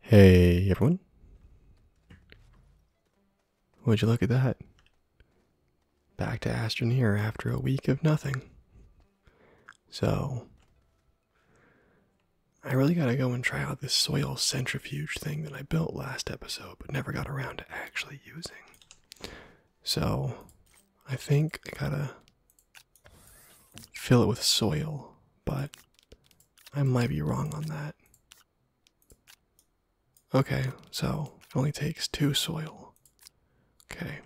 Hey everyone. Would you look at that? Back to Astroneer after a week of nothing. So, I really gotta go and try out this soil centrifuge thing that I built last episode but never got around to actually using. So, I think I gotta fill it with soil, but I might be wrong on that. Okay, so it only takes two soil. Okay.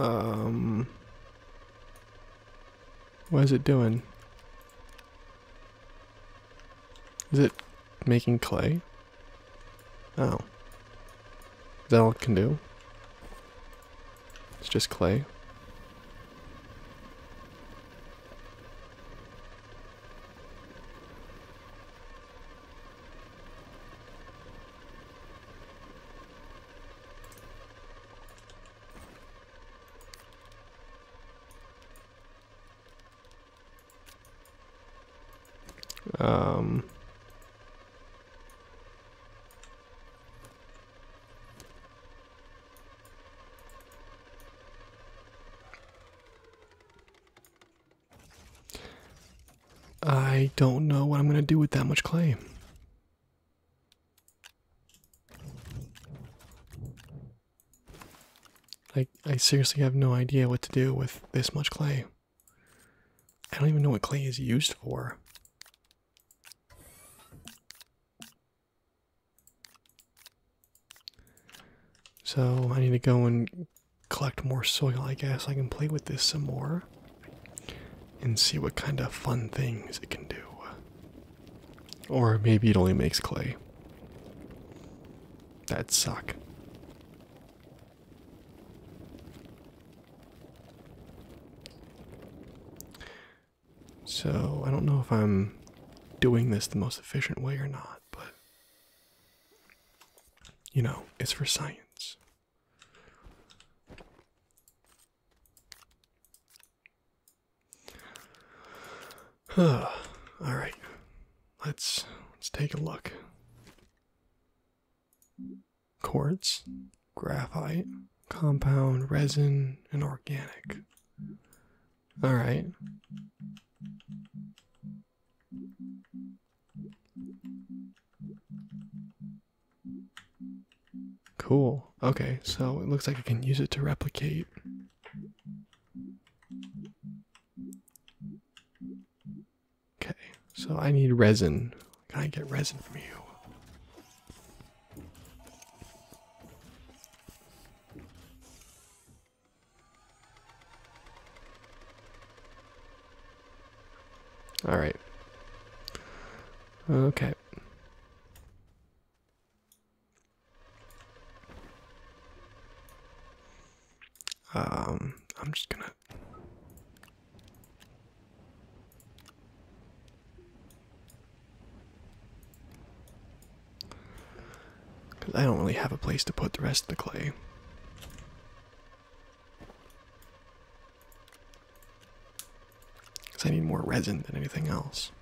Um, what is it doing? Is it making clay? Oh. Is that all it can do? It's just clay. Um, I don't know what I'm going to do with that much clay. I, I seriously have no idea what to do with this much clay. I don't even know what clay is used for. So I need to go and collect more soil, I guess. I can play with this some more and see what kind of fun things it can do. Or maybe it only makes clay. That'd suck. So, I don't know if I'm doing this the most efficient way or not, but you know, it's for science. All right. Let's let's take a look quartz, graphite, compound, resin, and organic. All right. Cool. Okay, so it looks like I can use it to replicate. Okay, so I need resin. Can I get resin from you? All right. Okay. Um, I'm just gonna because I don't really have a place to put the rest of the clay. Because I need more resin than anything else.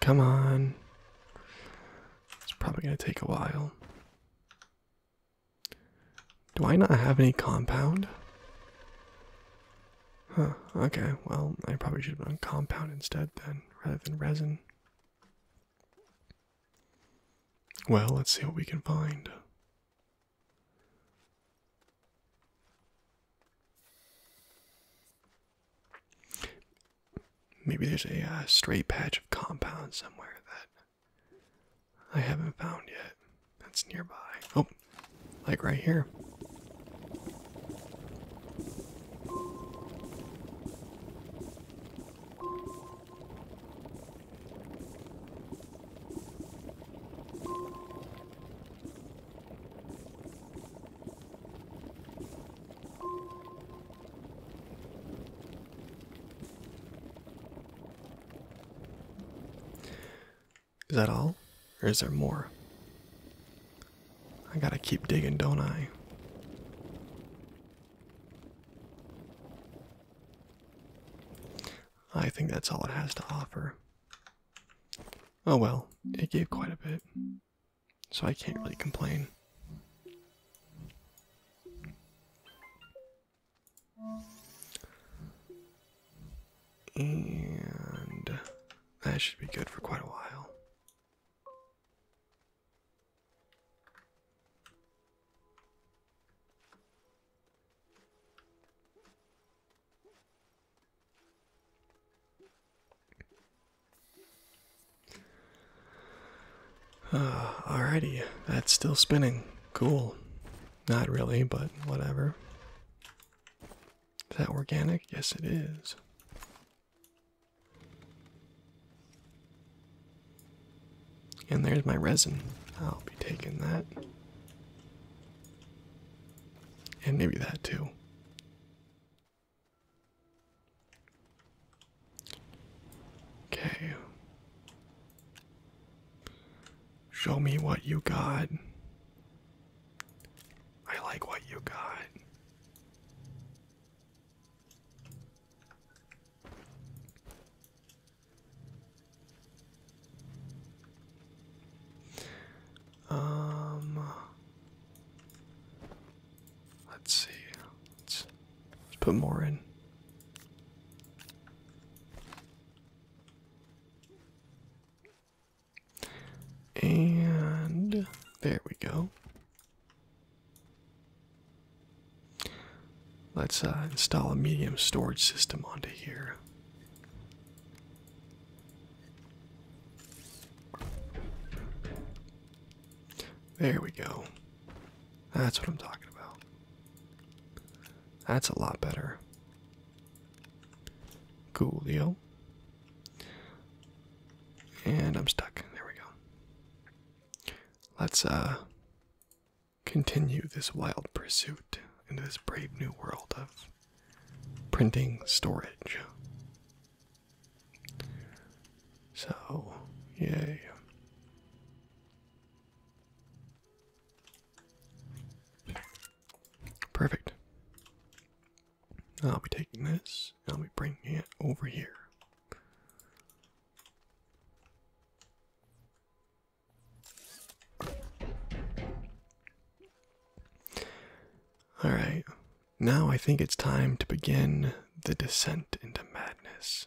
Come on. It's probably going to take a while. Do I not have any compound? Huh, okay, well, I probably should have done compound instead then, rather than resin. Well, let's see what we can find. Maybe there's a uh, stray patch of compound somewhere that I haven't found yet. That's nearby. Oh, like right here. Is that all? Or is there more? I gotta keep digging, don't I? I think that's all it has to offer. Oh well, it gave quite a bit, so I can't really complain. And that should be good for quite a while. Uh, alrighty, that's still spinning. Cool. Not really, but whatever. Is that organic? Yes, it is. And there's my resin. I'll be taking that. And maybe that too. Okay. Show me what you got. I like what you got. Um, let's see. Let's, let's put more in. And there we go. Let's uh, install a medium storage system onto here. There we go. That's what I'm talking about. That's a lot better. Cool deal. And I'm stuck. There we go. Let's uh continue this wild pursuit into this brave new world of printing storage. So, yay. Perfect. I'll be taking this, I'll be bringing it over here. All right, now I think it's time to begin the descent into madness.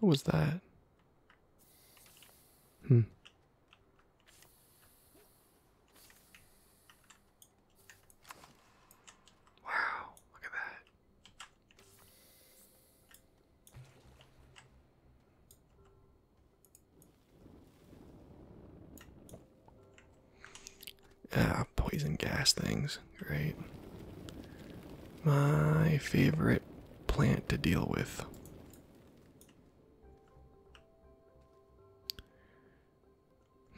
What was that? Hmm. Wow, look at that. Ah, poison gas things. Great. My favorite plant to deal with.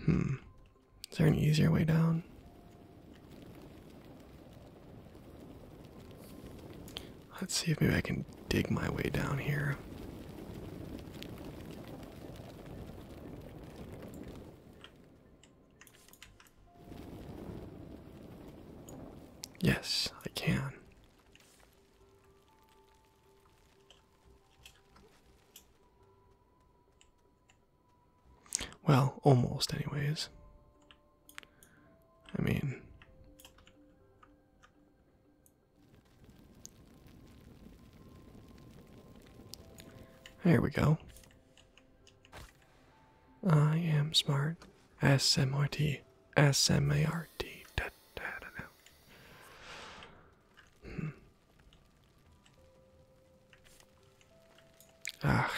Hmm. Is there an easier way down? Let's see if maybe I can dig my way down here. Yes, I can. Well, almost, anyways. I mean, there we go. I am smart. S M R T. S M A R T. Hmm. Ach.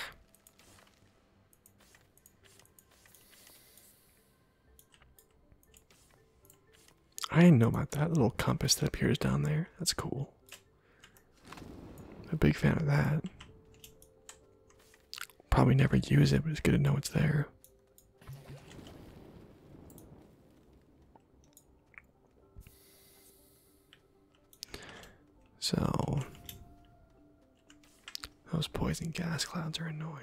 I didn't know about that little compass that appears down there. That's cool. I'm a big fan of that. Probably never use it, but it's good to know it's there. So, those poison gas clouds are annoying.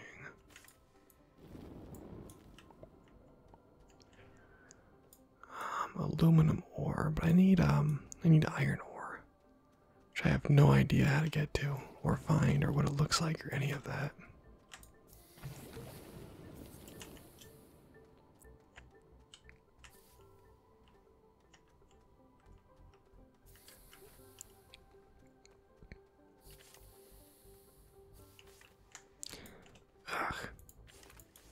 Um, aluminum ore, but I need um, I need iron ore, which I have no idea how to get to, or find, or what it looks like, or any of that. Ugh.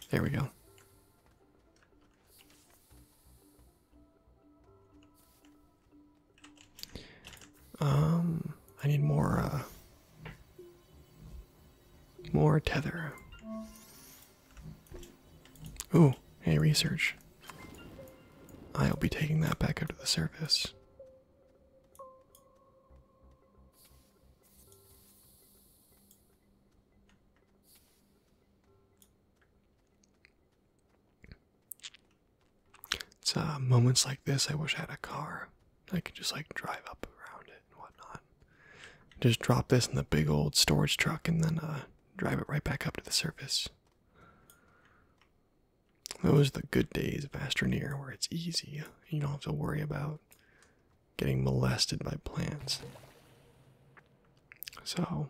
There we go. Um, I need more, uh, more tether. Ooh, hey, research. I'll be taking that back up to the surface. It's uh, moments like this I wish I had a car. I could just like drive up around it whatnot. Just drop this in the big old storage truck and then uh, drive it right back up to the surface. Those are the good days of Astroneer where it's easy. You don't have to worry about getting molested by plants. So.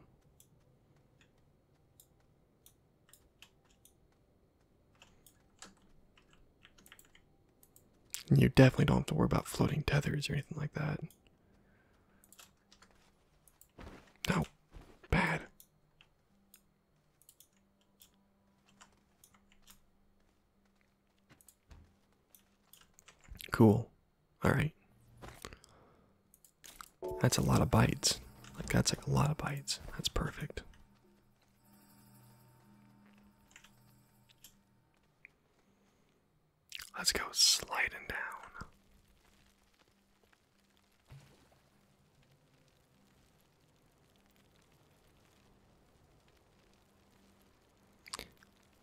You definitely don't have to worry about floating tethers or anything like that. No, bad. Cool. Alright. That's a lot of bites. Like, that's like a lot of bites. That's perfect. Let's go sliding down.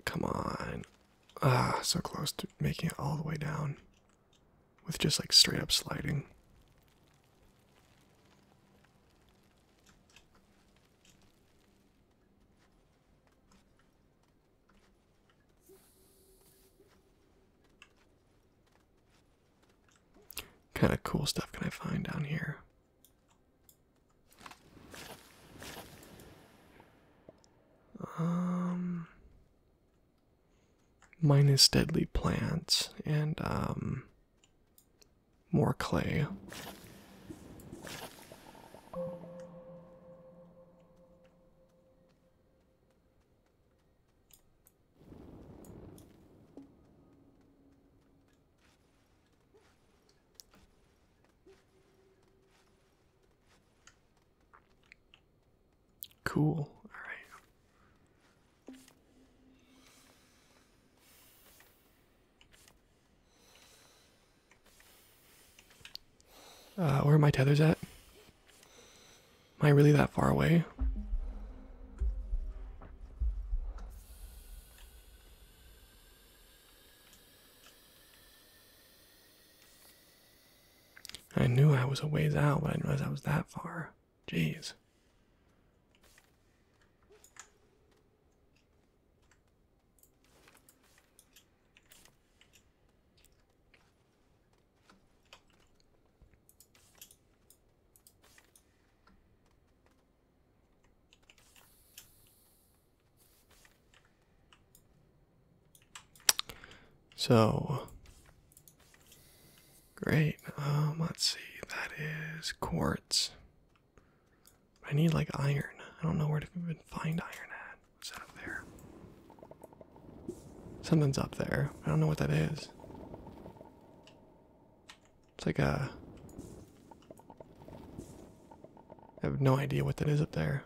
Come on. Ah, so close to making it all the way down with just like straight up sliding. Kind of cool stuff can I find down here? Um, minus deadly plants and um, more clay. Cool. All right. Uh, where are my tethers at? Am I really that far away? I knew I was a ways out, but I didn't realize I was that far. Jeez. So great. Um, let's see. That is quartz. I need like iron. I don't know where to even find iron at. What's up there? Something's up there. I don't know what that is. It's like a. I have no idea what that is up there.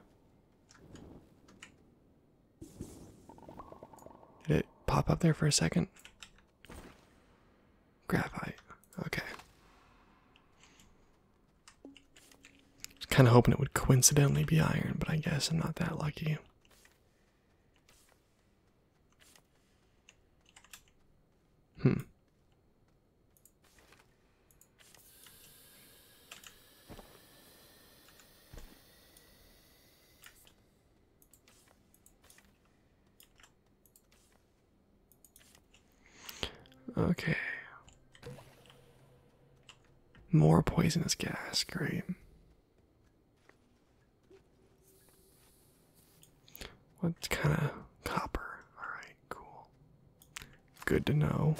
Did it pop up there for a second? Graphite. Okay. was kind of hoping it would coincidentally be iron, but I guess I'm not that lucky. Hmm. Okay. More poisonous gas, great. What kind of copper? Alright, cool. Good to know.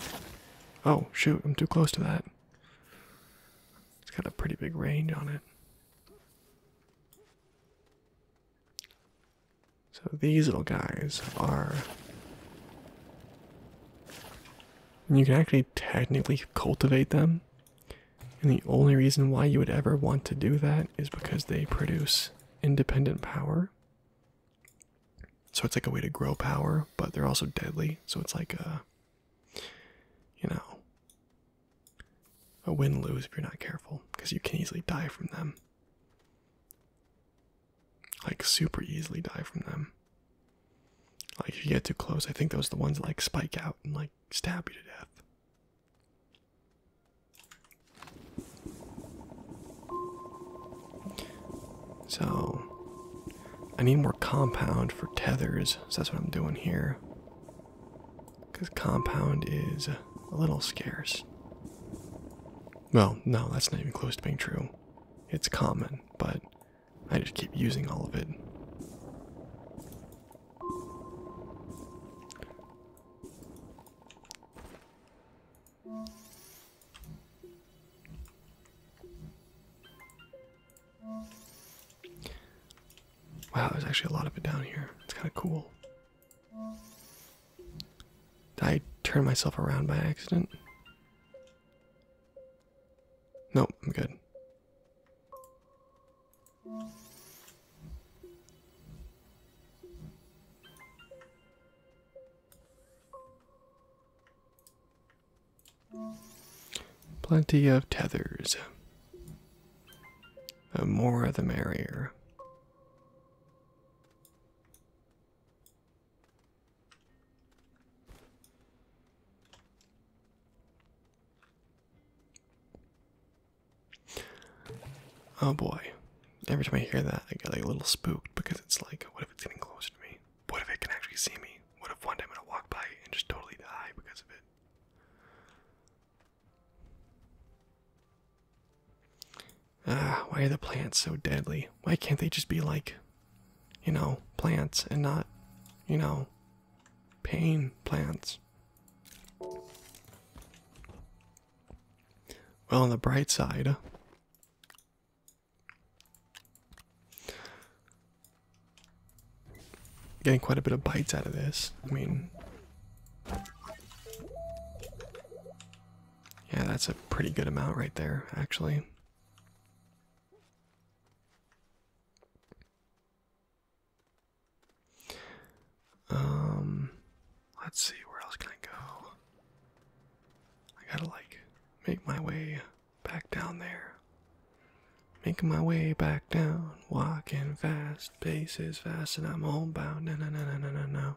Oh, shoot, I'm too close to that. It's got a pretty big range on it. So these little guys are. You can actually technically cultivate them. And the only reason why you would ever want to do that is because they produce independent power. So it's like a way to grow power, but they're also deadly. So it's like a, you know, a win lose if you're not careful, because you can easily die from them. Like, super easily die from them. Like, if you get too close, I think those are the ones like, spike out and, like, stab you to death. So, I need more compound for tethers, that's what I'm doing here. Because compound is a little scarce. Well, no, that's not even close to being true. It's common, but I just keep using all of it. Wow, there's actually a lot of it down here. It's kind of cool. Did I turn myself around by accident. Nope, I'm good. Plenty of tethers. The more the merrier. Oh boy. Every time I hear that, I get a little spooked because it's like, what if it's getting closer to me? What if it can actually see me? What if one day I'm gonna walk by and just totally die because of it? Ah, why are the plants so deadly? Why can't they just be like, you know, plants and not, you know, pain plants? Well, on the bright side, getting quite a bit of bites out of this. I mean, yeah, that's a pretty good amount right there, actually. Um, let's see, where else can I go? I gotta like make my way back down there. Making my way back down, walking fast, pace is fast, and I'm homebound. No, no, no, no, no, no, no.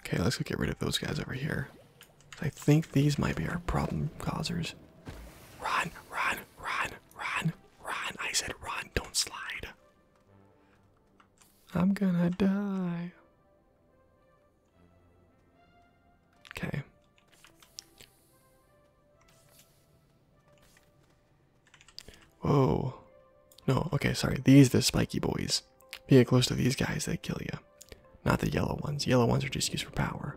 Okay, let's go get rid of those guys over here. I think these might be our problem causers. Run, run, run, run, run. I said run, don't slide. I'm gonna die. Okay. Whoa. No, okay, sorry. These the spiky boys. Being close to these guys, they kill you. Not the yellow ones. Yellow ones are just used for power.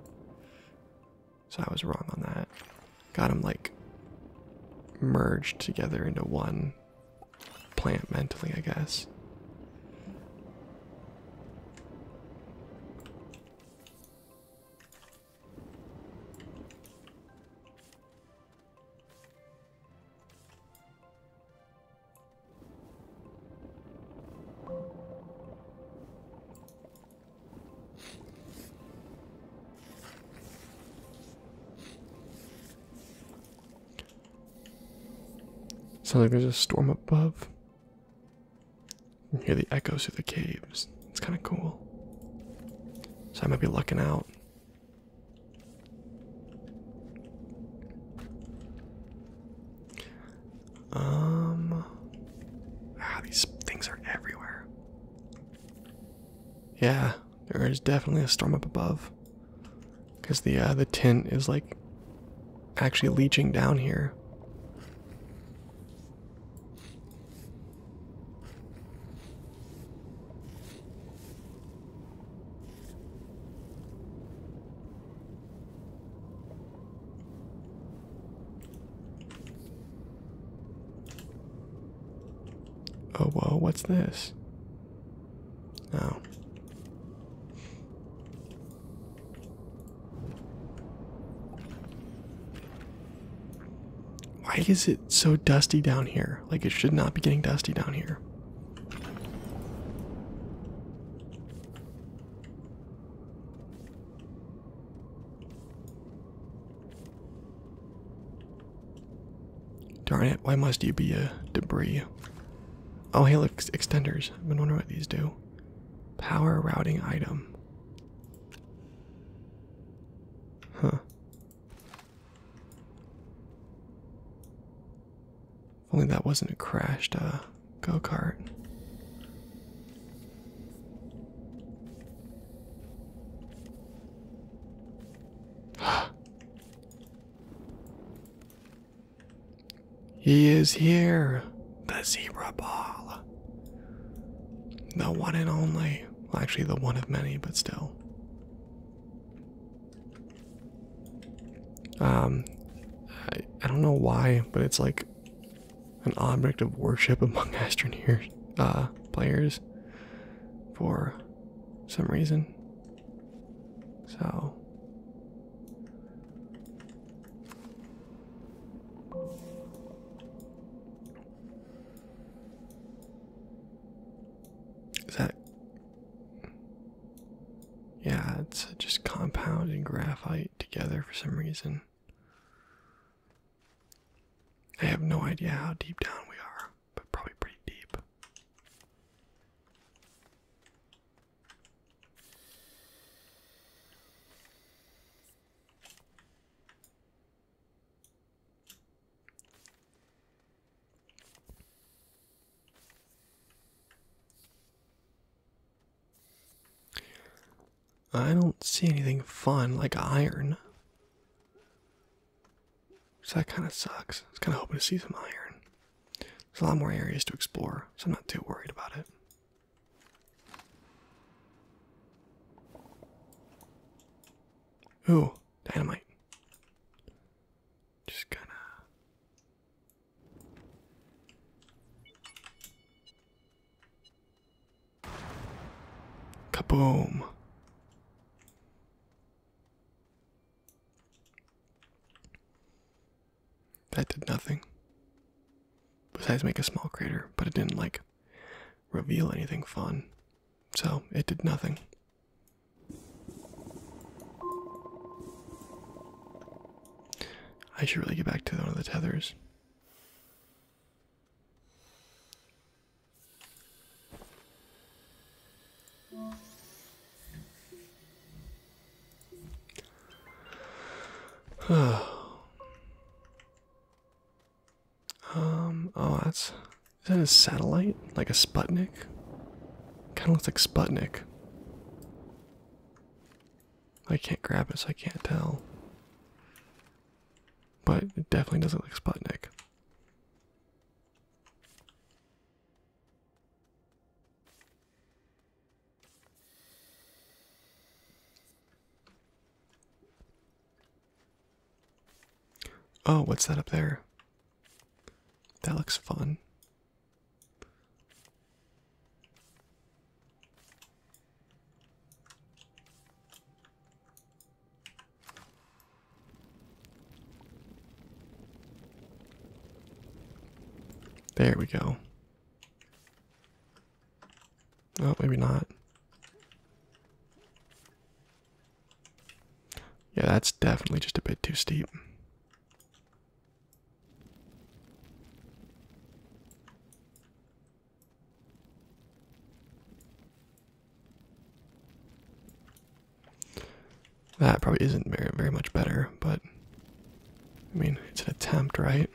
So I was wrong on that. Got them like merged together into one plant mentally, I guess. Sounds like there's a storm above. You can hear the echoes through the caves. It's kind of cool. So I might be lucking out. Um. Ah, these things are everywhere. Yeah, there is definitely a storm up above. Because the uh, the tint is like actually leaching down here. Oh, whoa, what's this? Oh. Why is it so dusty down here? Like, it should not be getting dusty down here. Darn it, why must you be a debris? Oh, helix extenders. I've been wondering what these do. Power routing item. Huh. Only that wasn't a crashed uh, go kart. he is here, the zebra ball. The one and only. actually, the one of many, but still. Um, I, I don't know why, but it's like an object of worship among Astroneer uh, players for some reason. So. Is that yeah, it's just compound and graphite together for some reason. I have no idea how deep down we are, but probably pretty deep. I don't see anything fun like iron. So that kind of sucks. I was kind of hoping to see some iron. There's a lot more areas to explore, so I'm not too worried about it. Ooh, dynamite. Just kind of Kaboom. That did nothing. Besides make a small crater, but it didn't like reveal anything fun. So it did nothing. I should really get back to one of the tethers. um, oh, that's. Is that a satellite? Like a Sputnik? Kind of looks like Sputnik. I can't grab it, so I can't tell. But it definitely doesn't look like Oh, what's that up there? That looks fun. There we go. Oh, maybe not. Yeah, that's definitely just a bit too steep. That probably isn't very, very much better, but I mean, it's an attempt, right?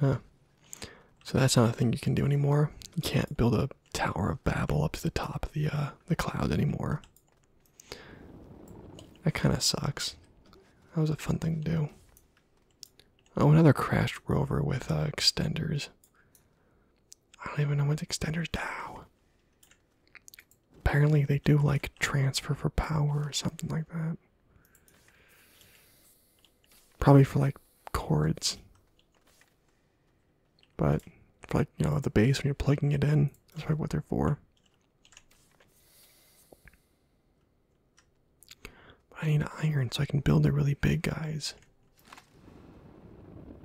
Huh. So that's not a thing you can do anymore. You can't build a Tower of Babel up to the top of the uh, the cloud anymore. That kind of sucks. That was a fun thing to do. Oh, another crashed rover with uh, extenders. I don't even know what extenders do. Apparently, they do like transfer for power or something like that. Probably for like cords. But like, you know, the base when you're plugging it in, that's probably what they're for. I need iron so I can build the really big guys.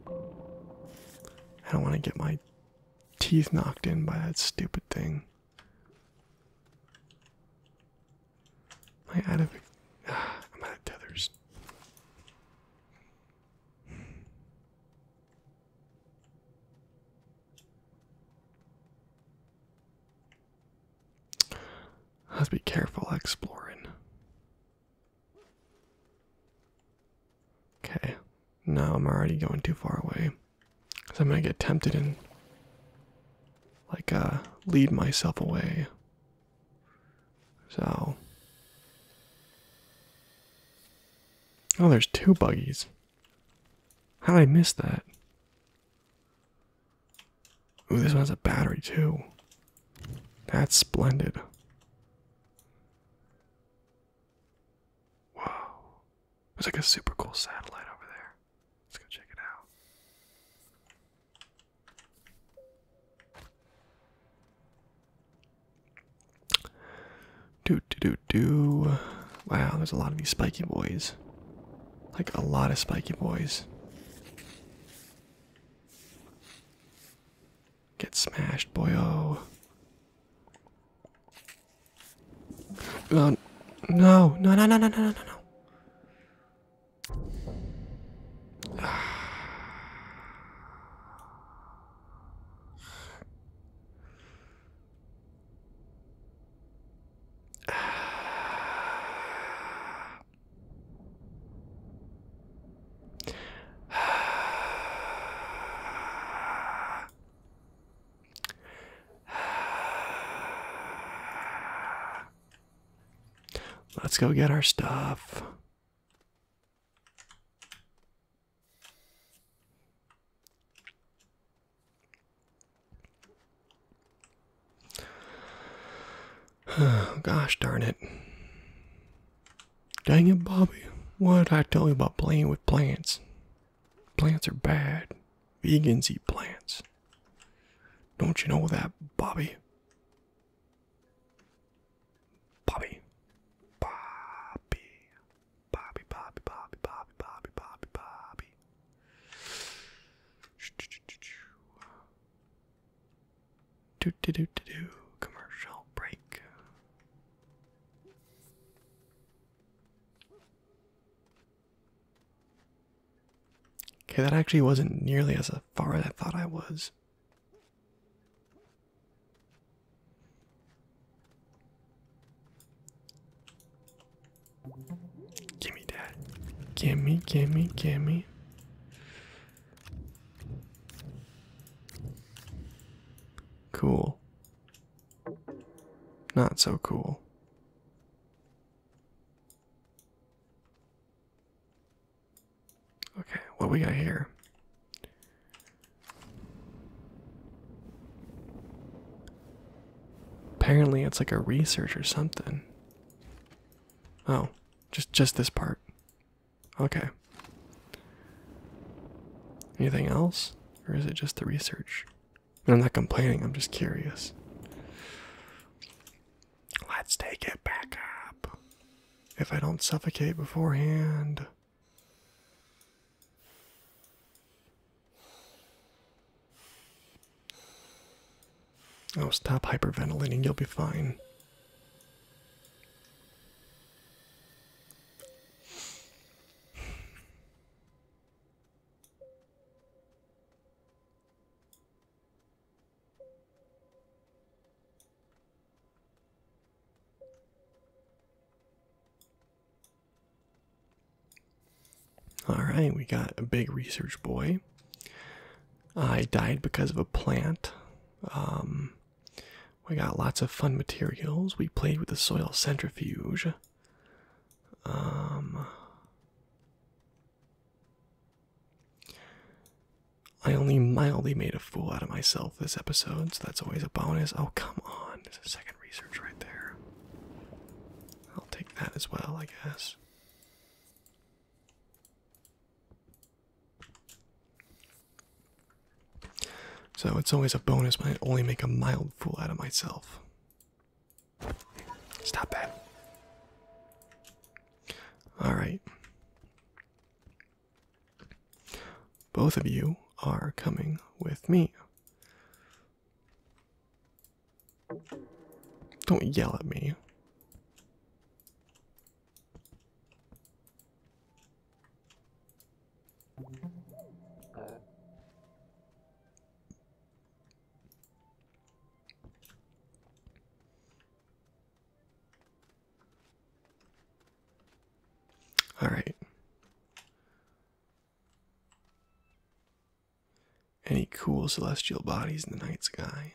I don't want to get my teeth knocked in by that stupid thing. Am I out of ah, I'm out of tethers. Have to be careful exploring. Okay, now I'm already going too far away. So I'm gonna get tempted and like uh lead myself away. So Oh, there's two buggies. How did I miss that? Ooh, this one has a battery too. That's splendid. Whoa. There's like a super cool satellite over there. Let's go check it out. Do do do do. Wow, there's a lot of these spiky boys. Like a lot of spiky boys. Get smashed, boy! Oh, no, no, no, no, no, no, no, no. Let's go get our stuff. Gosh darn it. Dang it, Bobby. What did I tell you about playing with plants? Plants are bad. Vegans eat plants. Don't you know that, Bobby. Bobby. Bobby, Bobby, Bobby, Bobby, Bobby, Bobby, Bobby. Do do do do do commercial break. Okay, that actually wasn't nearly as far as I thought I was. Gimme that. Gimme, gimme, gimme. Cool. Not so cool. Okay, what we got here? Apparently, it's like a research or something. Oh, just just this part. Okay. Anything else? Or is it just the research? I'm not complaining, I'm just curious. Let's take it back up. If I don't suffocate beforehand. Oh, stop hyperventilating. You'll be fine. All right, we got a big research boy. I died because of a plant. Um, we got lots of fun materials. We played with the soil centrifuge. Um, I only mildly made a fool out of myself this episode, so that's always a bonus. Oh, come on. second research right there. I'll take that as well, I guess. So it's always a bonus when I only make a mild fool out of myself. Stop that. Alright. Both of you are coming with me. Don't yell at me. All right. Any cool celestial bodies in the night sky?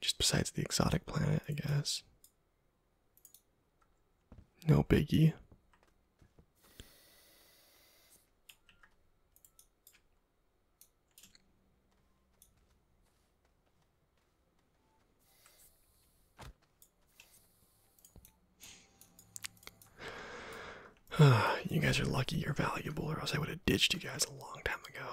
Just besides the exotic planet, I guess. No biggie. you guys are lucky you're valuable, or else I would have ditched you guys a long time ago.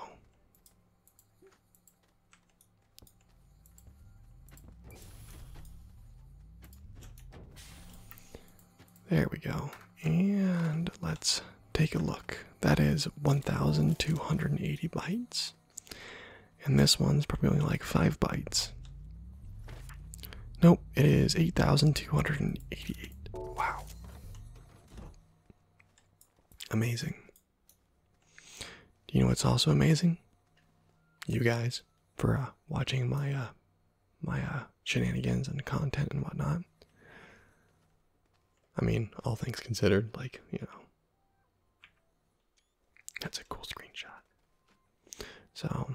There we go. And let's take a look. That is 1,280 bytes. And this one's probably only like 5 bytes. Nope, it is 8,288. Wow. Amazing. You know what's also amazing? You guys for uh, watching my uh, my uh, shenanigans and content and whatnot. I mean, all things considered, like you know, that's a cool screenshot. So,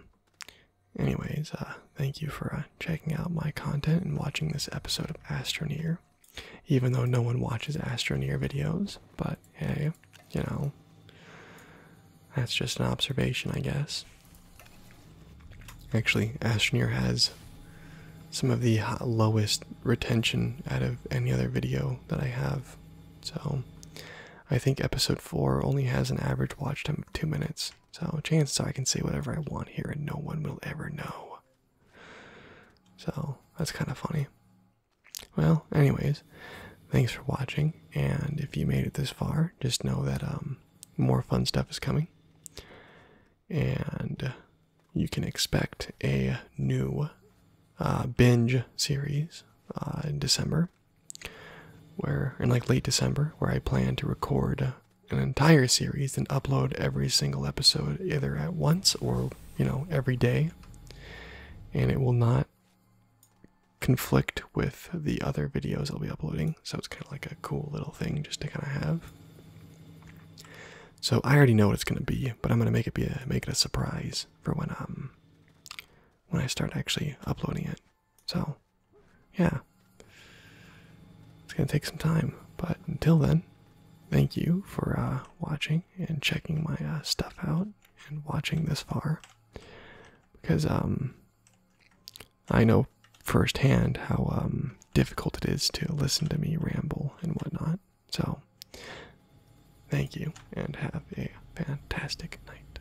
anyways, uh, thank you for uh, checking out my content and watching this episode of Astroneer. Even though no one watches Astroneer videos, but hey, you know, that's just an observation, I guess. Actually, Astroneer has some of the lowest retention out of any other video that I have. So, I think episode 4 only has an average watch time of 2 minutes this, so chances I can say whatever I want here and no one will ever know. So that's kind of funny. Well, anyways, thanks for watching, and if you made it this far, just know that um, more fun stuff is coming, and you can expect a new uh, binge series uh, in December where in like late December, where I plan to record an entire series and upload every single episode either at once or you know every day, and it will not conflict with the other videos I'll be uploading. So it's kind of like a cool little thing just to kind of have. So I already know what it's gonna be, but I'm gonna make it be a, make it a surprise for when um when I start actually uploading it. So, yeah. It's going to take some time, but until then, thank you for uh, watching and checking my uh, stuff out and watching this far. Because um, I know firsthand how um, difficult it is to listen to me ramble and whatnot. So, thank you and have a fantastic night.